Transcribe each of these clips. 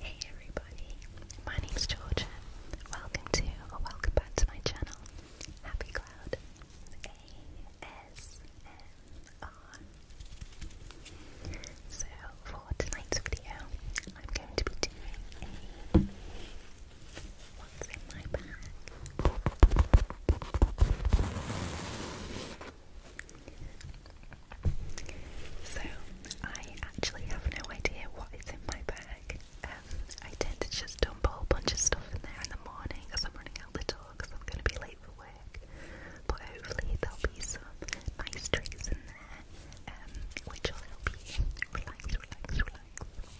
Hey everybody, my name's Georgia. Welcome to or welcome back to my channel, Happy Cloud So for tonight's video, I'm going to be doing a what's in my bag. So, I actually have no idea what is in my bag. Um, I tend to just dump a bunch of stuff in there in the morning because I'm running out the door because I'm going to be late for work. But hopefully, there'll be some nice drinks in there, um, which will help you relax, relax, relax,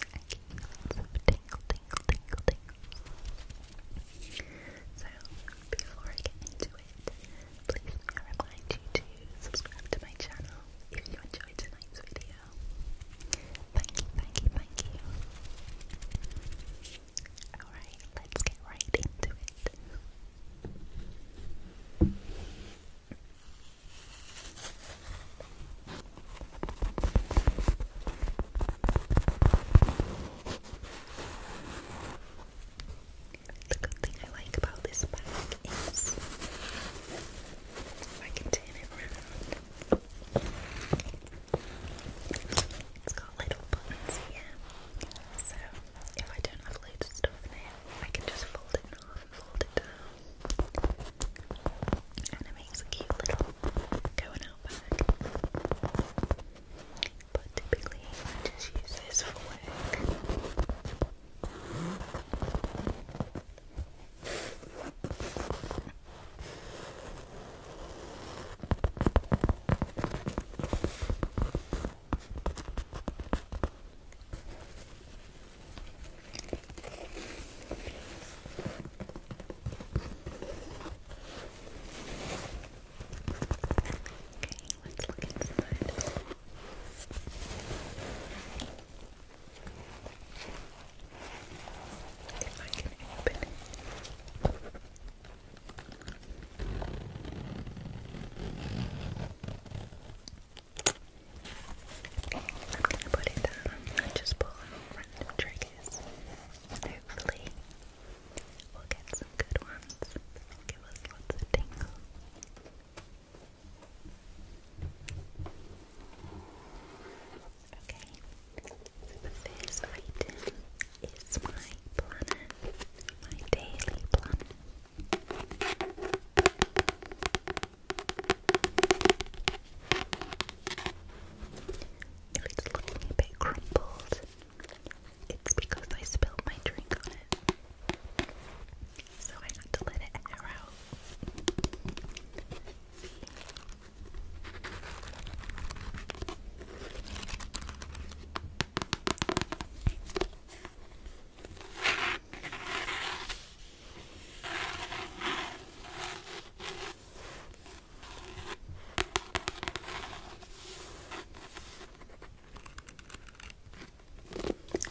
and give you lots of tingle, tingle, tingle, tingle. So, before I get into Please I remind you to subscribe to my channel if you enjoyed tonight's video. Thank you, thank you, thank you. Alright, let's get right into it. The good thing I like about this bag is I can turn it around. It's got little buttons here, so if I don't have loads of stuff in it, I can just fold it in half and fold it down. And it makes a cute little going out bag but typically I just use this for work. Okay. Let's look inside. If I can open it. I'm gonna put it down and just pull random triggers. hopefully we'll get some good ones give us lots of tingles. Okay, so the item is my planner, my daily planner. If it's looking a bit crumpled, it's because I spilled my drink on it. So I had to let it air out.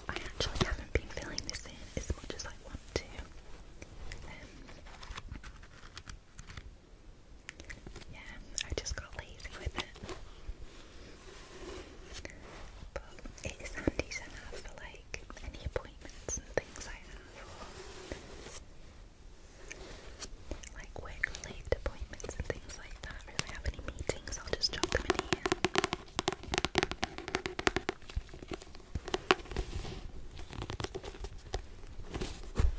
I actually haven't been filling this in as much as I want to. Um, yeah, I just got lazy with it. But it is handy to have for like any appointments and things I have, or like work related appointments and things like that really have any meetings, I'll just drop them in here. And good because it's got the day, the month,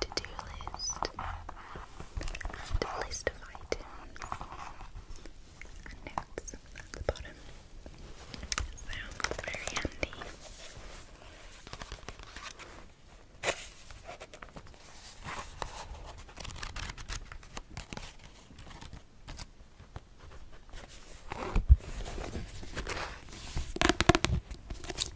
to-do list a list of items and notes at the bottom. So very handy. I love the bobble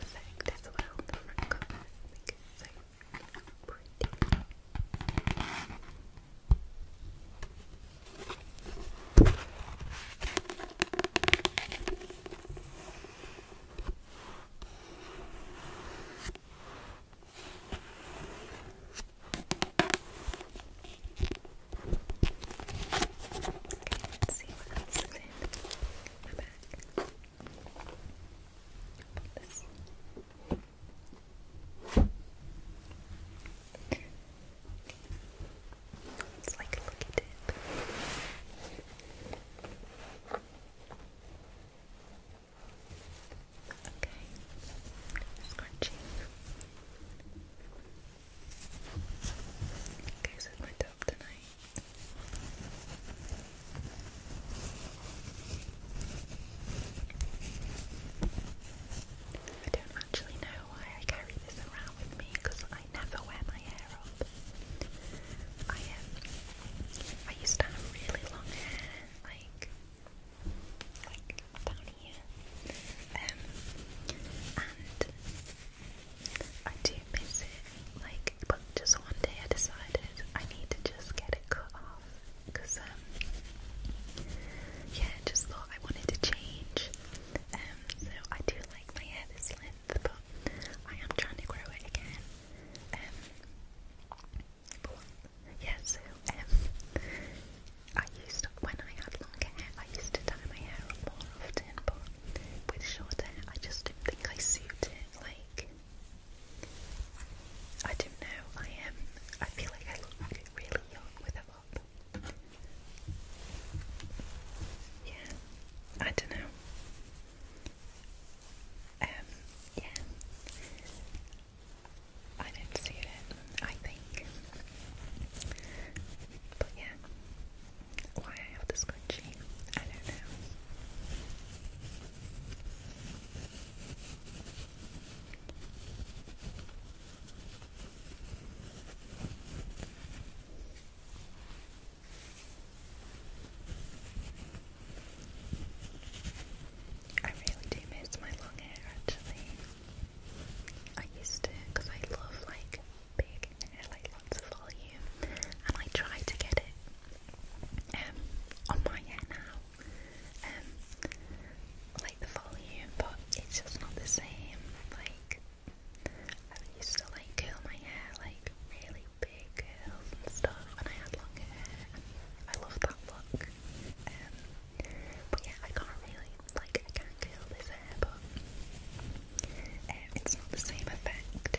effect as well. The front cover. I think it's like pretty. Okay, let's see what else is in my bag. This. It's like a looky dip. Okay, scrunchie. Goes with my top tonight. I don't actually know why I carry this around with me because I never wear my hair up. I um, I used to have really long hair, like like down here, um, and I do miss it. Like, but just one day I decided I need to just get it cut off off because um yeah, just thought I wanted to change. Um, so I do like my hair this length, but I am trying to grow it again. Um, but yeah, so um, I used to, when I had longer hair, I used to dye my hair up more often, but with short hair, I just didn't think I suited. Like, I don't know. I am. I feel like I look really young with a bob. Yeah. I don't know. Um. Yeah. I don't see it. I think. But yeah. Why I have the scrunchie, I don't know. I really do miss my long hair actually. I used to because I love like big hair, like lots of volume, and I try to get it um, on my hair now, um, like the volume, but it's just not the same. Like I used to like curl my hair like really big curls and stuff when I had long hair. I love that look. Um, but yeah, I can't really like I can't curl this hair, but um, it's not the same effect.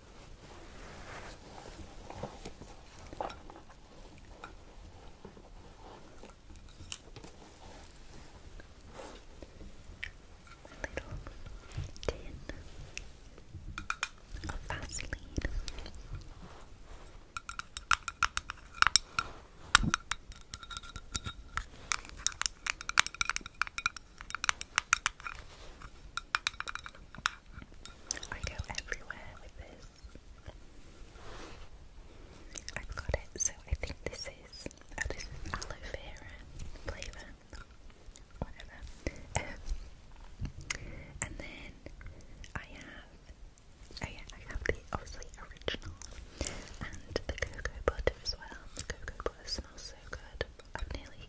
little tin of Vaseline. Now I go everywhere with this. I've got it, so I think this is oh, aloe vera flavour. Whatever. Um, and then I have oh yeah, I have the obviously original and the cocoa butter as well. cocoa butter smells so good. I've nearly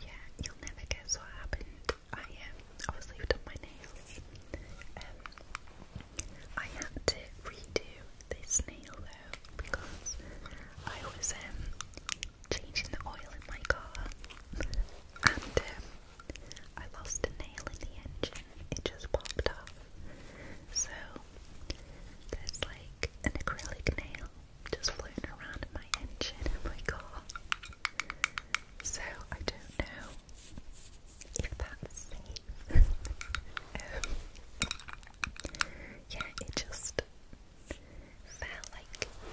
Yeah, you'll never guess what happened. I um, obviously done my nails. Um, I had to redo this nail though because I was um changing the oil in my car and um, I lost a nail in the engine, it just popped off. So there's like an acrylic nail just floating around in my engine in my car. So I don't know if that's safe. um, yeah, it just felt like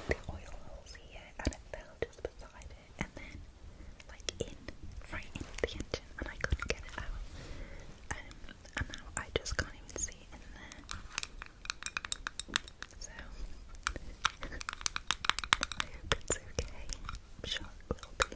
the oil holes here and it fell just beside it and then like in, right in the engine and I couldn't get it out um, and now I just can't even see in there so I hope it's okay I'm sure it will be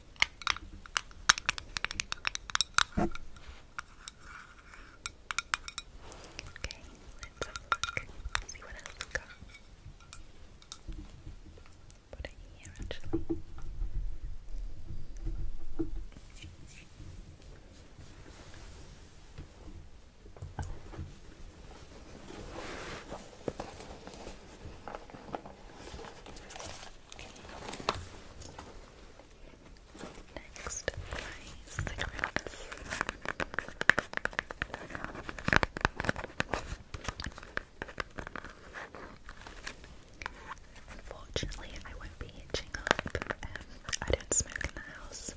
Okay, let's have a look. See what else we got. Put it here actually. Oh. Next, my cigarettes. I won't be hitching up. Um, I don't smoke in the house,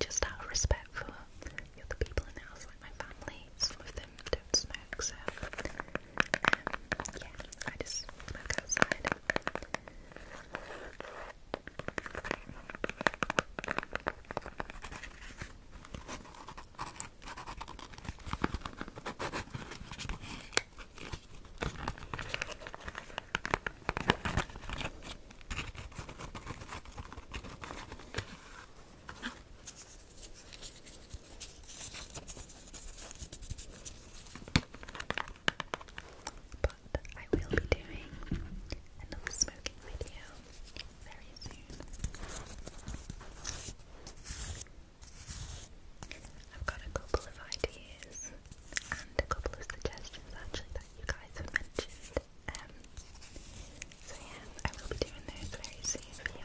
just out respect for the people in the house, like my family. Some them don't smoke, so um, yeah, I just smoke outside. But I will be doing another smoking video very soon. I've got a couple of ideas and a couple of suggestions actually that you guys have mentioned. Um, so yeah, I will be doing those very soon you.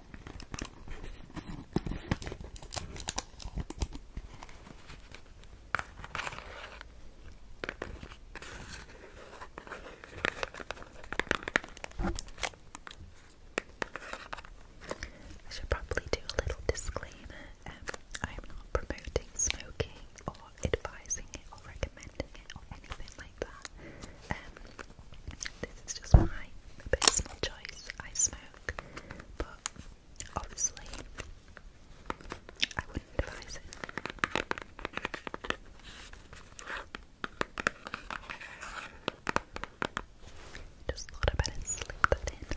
I should probably do a little disclaimer. I am um, not promoting smoking or advising it or recommending it or anything like that. Um, this is just my personal choice. I smoke, but obviously I wouldn't advise it. Just thought I better slip that in.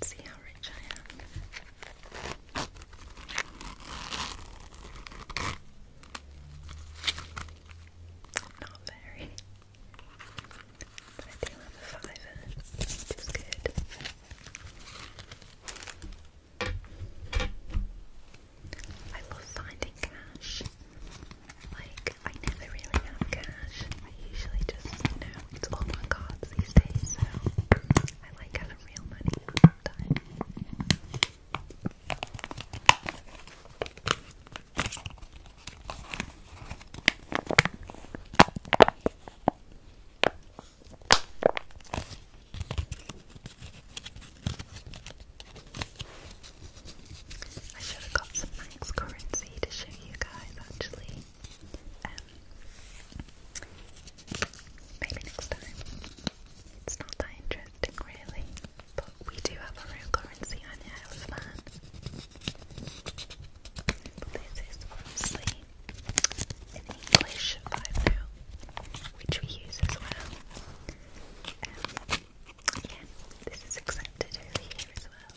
Let's see how rich I am. Not very. But I do have a fiver, which is good. I love finding cash. Like, I never really have cash. I usually just, you know, it's all on cards these days, so I like having real money time. I should have got some max currency to show you guys actually. Um, maybe next time. It's not that interesting, really, but we do have a real currency on here, I was a fan. This is obviously an English vibe now, which we use as well. Um, yeah, this is accepted over here as well.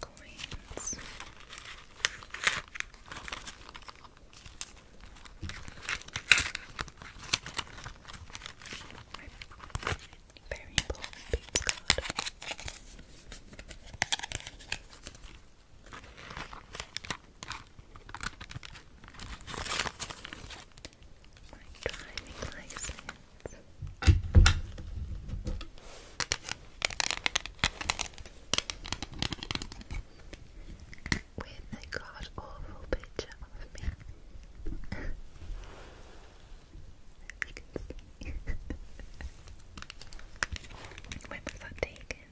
coins. My very important card. My driving license with a god awful picture of me. you when was that taken?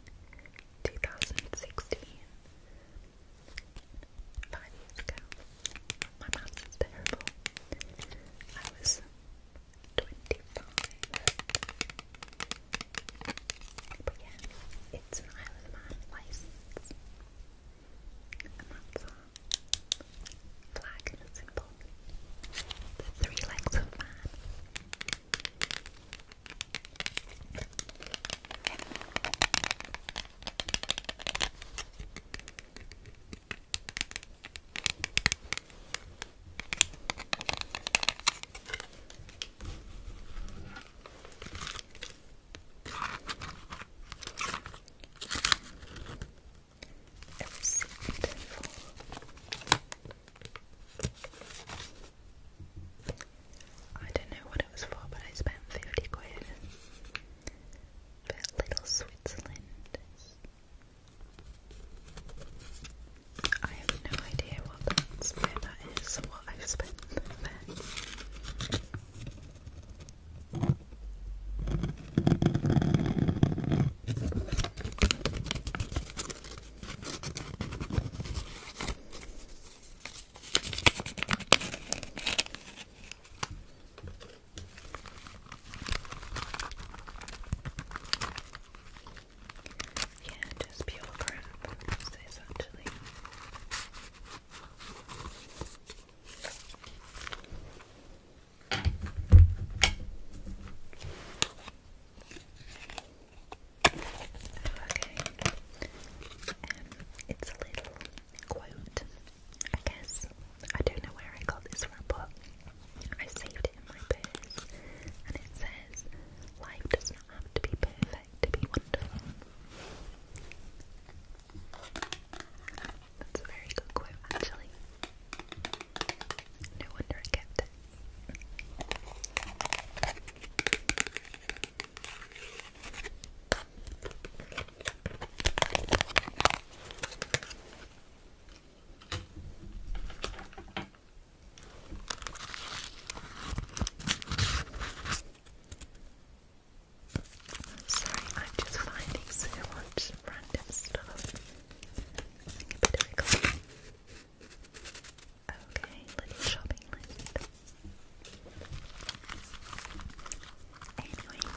2016. Five years ago. My maths is terrible. I was 25. But yeah, it's an Isle of Man license. And that's our flag symbol. The three legs of it's beautiful. I don't know what it was for, but I spent 50 quid for Little Switzerland. I have no idea what that is or what I've spent yeah, just pure crap, this Okay, um, it's a little quote, I guess, I don't know where I got this from, but I saved it in my purse and it says, Life does not have to be perfect to be wonderful. That's a very good quote, actually. No wonder I kept it. I'm sorry, I'm just finding so much random stuff. I a bit of Okay, little shopping list. Anyway,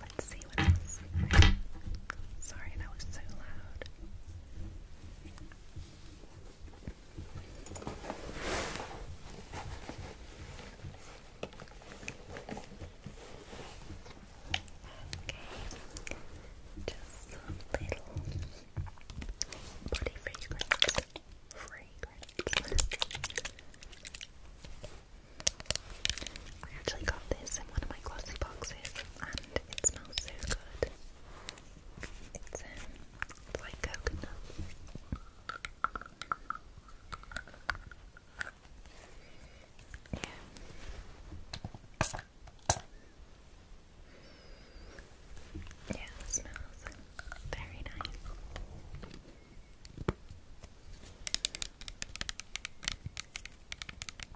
Let's see what else. Sorry, that was so loud. just some little body fragrance, fragrance. I actually got this in one of my glossy boxes, and it smells so good. It's, um, it's like coconut. Yeah. Yeah, it smells very nice.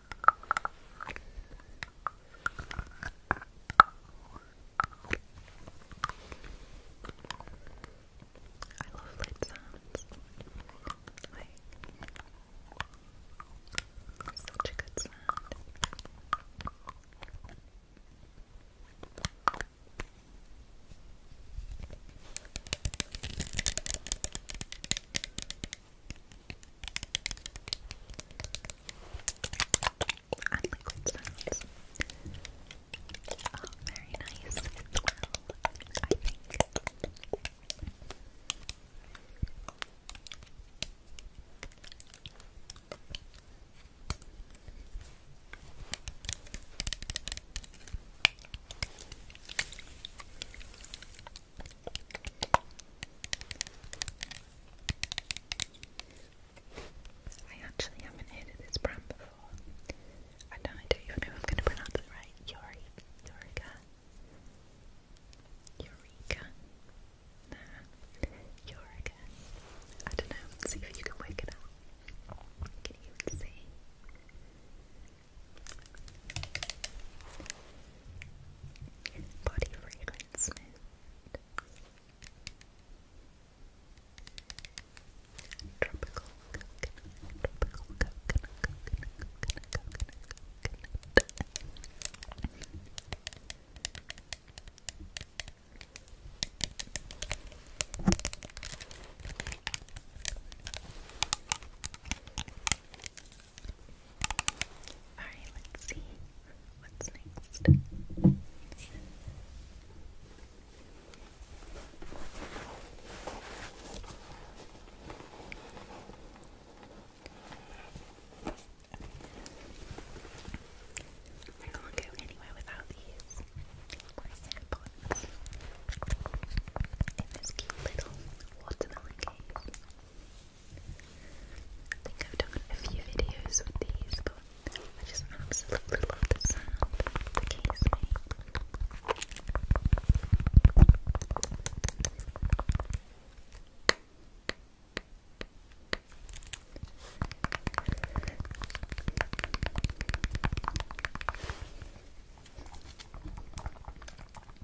I love lid sounds. such a good sound. I like cold sounds. Oh, very nice as well, I think. I actually haven't heard this brand before. I don't know if I'm going to pronounce it right. Yori, Eureka, nah, Yorika. I don't know. See if you can wake it up. Can you even see? Body fragrance mint. Tropical coconut, tropical coconut, coconut, coconut, Alright, let's see what's next. I can't go anywhere without these. My little watermelon cake. I think I've done a few videos with these, but I just absolutely love the sound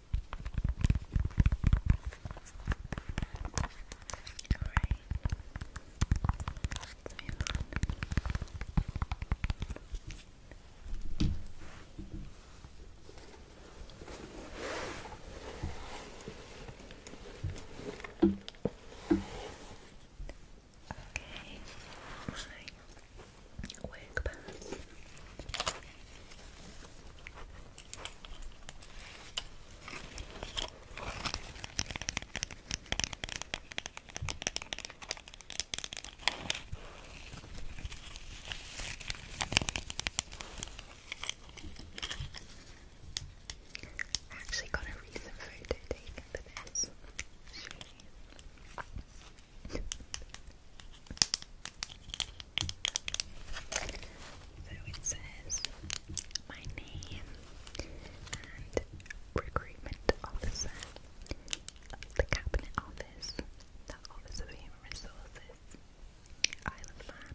Alright. let Okay, my wig pads. I actually got a recent photo taken for this. So it says my name and recruitment officer of the Cabinet Office, the Office of Human Resources, Isle of Man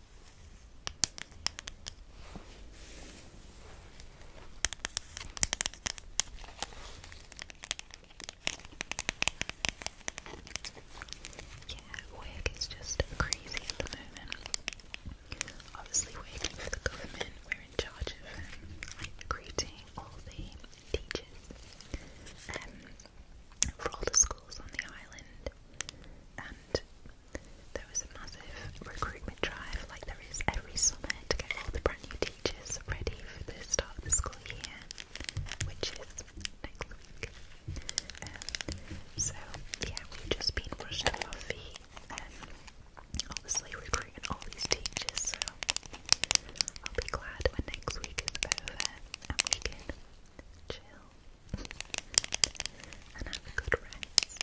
Yeah, work is just crazy at the moment. Obviously, working for the government, we're in charge of um, recruiting all the teachers. Um, for all the schools on the island, and there was a massive recruitment drive, like there is every summer, to get all the brand new teachers ready for the start of the school year, which is next week. Um, so yeah, we've just been rushing off our feet and obviously recruiting all these teachers. So I'll be glad when next week is over and we can chill, and have a good rest.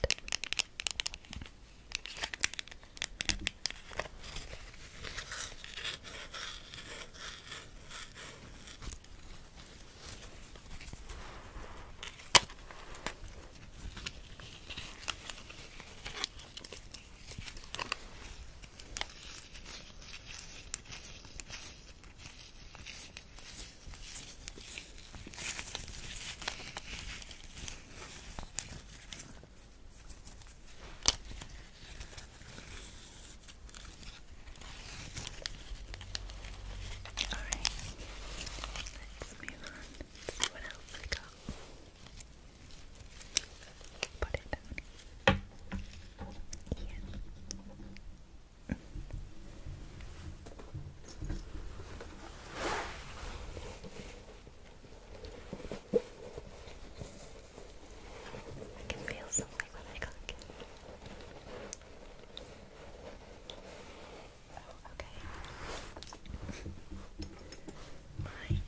Alright, let's move on see what else we got. Put it down. Yeah. I can feel something when I click it. Oh, okay. My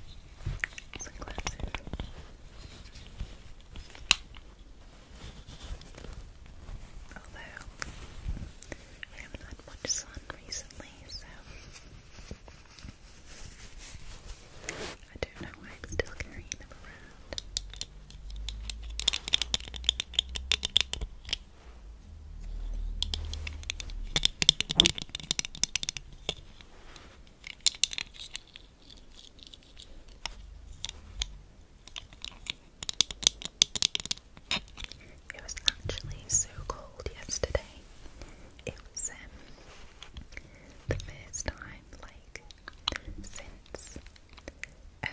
sunglasses. Although we haven't had much sun recently, so I don't know why I'm still carrying them around. Okay. It was actually so cold yesterday. It was um, the first time, like, since, um,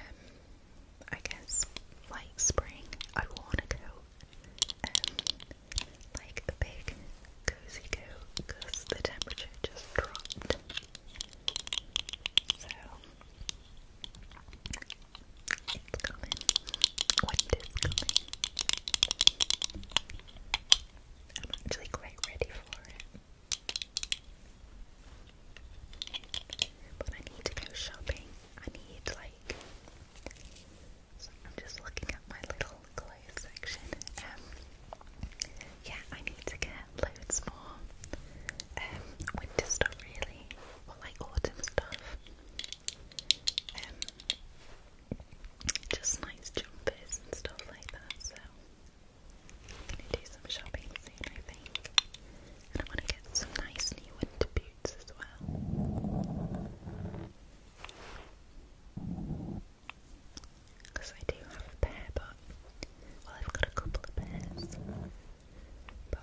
I guess, like spring, I want to go, Um, like a big cozy coat because the temperature just dropped. So it's coming. What is coming? I'm actually quite ready for it. But I need to go shopping. I need like so I'm just looking at my little clothes section. Um, yeah, I need to get loads more um, winter stuff really, or like autumn stuff. Um, just nice jumpers and stuff like that. So I'm gonna do some shopping soon, I think, and I want to get some nice new winter boots as well because I do have a pair, but well, I've got a couple of pairs, but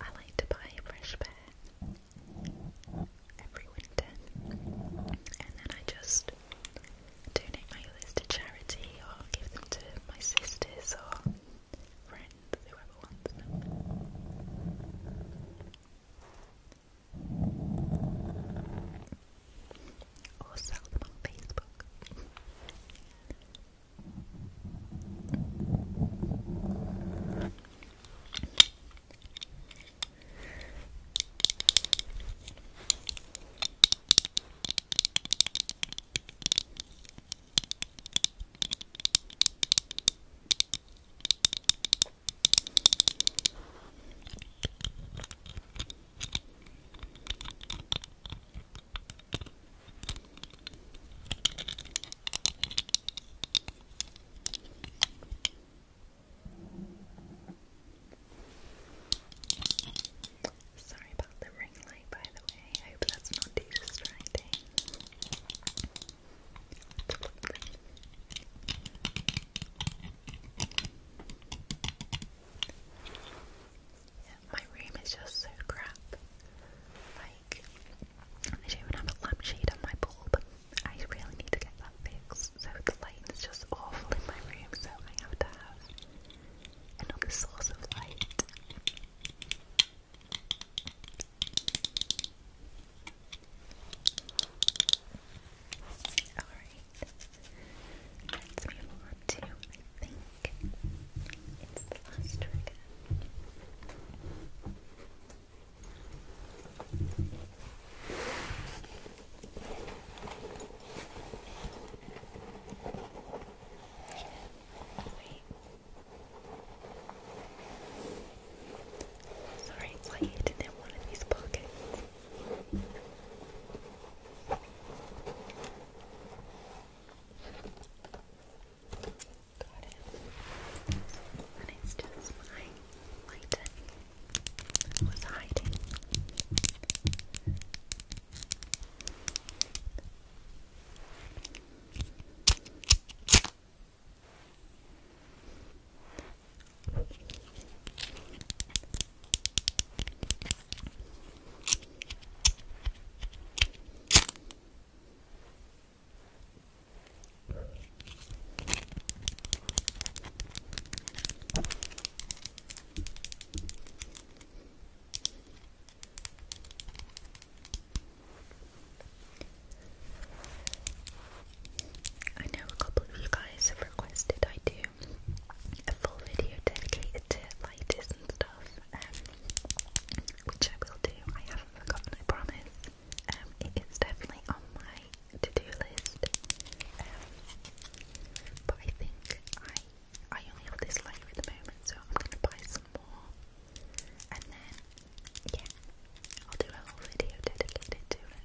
I like to buy a fresh pair every winter, and then I just donate my others to charity or give them to my sisters or friends, whoever wants them or sell them on Facebook. Sorry about the ring light, by the way. I hope not too distracting. Yeah, my room is just so crap. Like, I don't even have a lampshade on my bulb. I really need to get that fixed. So the light is just awful in my room, so I have to have another source of light. Alright. Let's move on to, I think, it's the last trigger. Wait. Sorry, I hid it in one of these pockets. Got it. And it's just my lighting was hiding. I know a couple of you guys have requested I do a full video dedicated to lighters and stuff, um, which I will do. I haven't forgotten, I promise. Um, it is definitely on my to-do list, um, but I think I I only have this light at the moment, so I'm gonna buy some more, and then yeah, I'll do a whole video dedicated to it.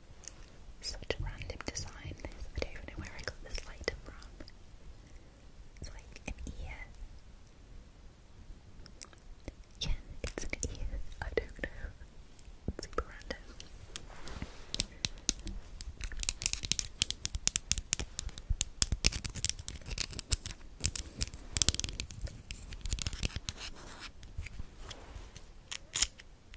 Such a random design I don't even know where I got this lighter from. It's like an ear. Yeah, it's an ear. I don't know. super random.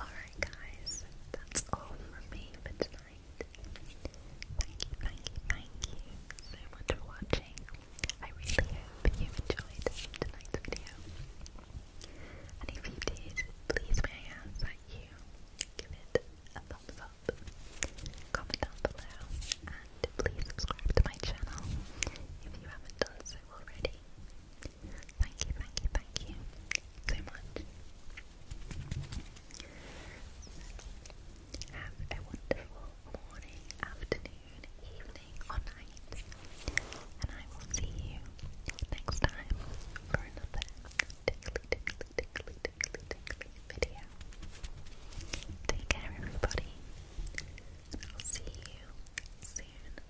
Alright, guys, that's all from me for tonight. Thank you, thank you, thank you so much for watching. I really hope you enjoyed tonight's video. And if you did, please may I that you give it a thumbs up, comment down below, and please subscribe to my channel if you haven't done so already. Thank you, thank you, thank you so much. Have a wonderful morning, afternoon, evening, or night, and I will see you next time for another tickly, tickly, tickly, tickly, tickly video. Take care, everybody, I'll see you soon.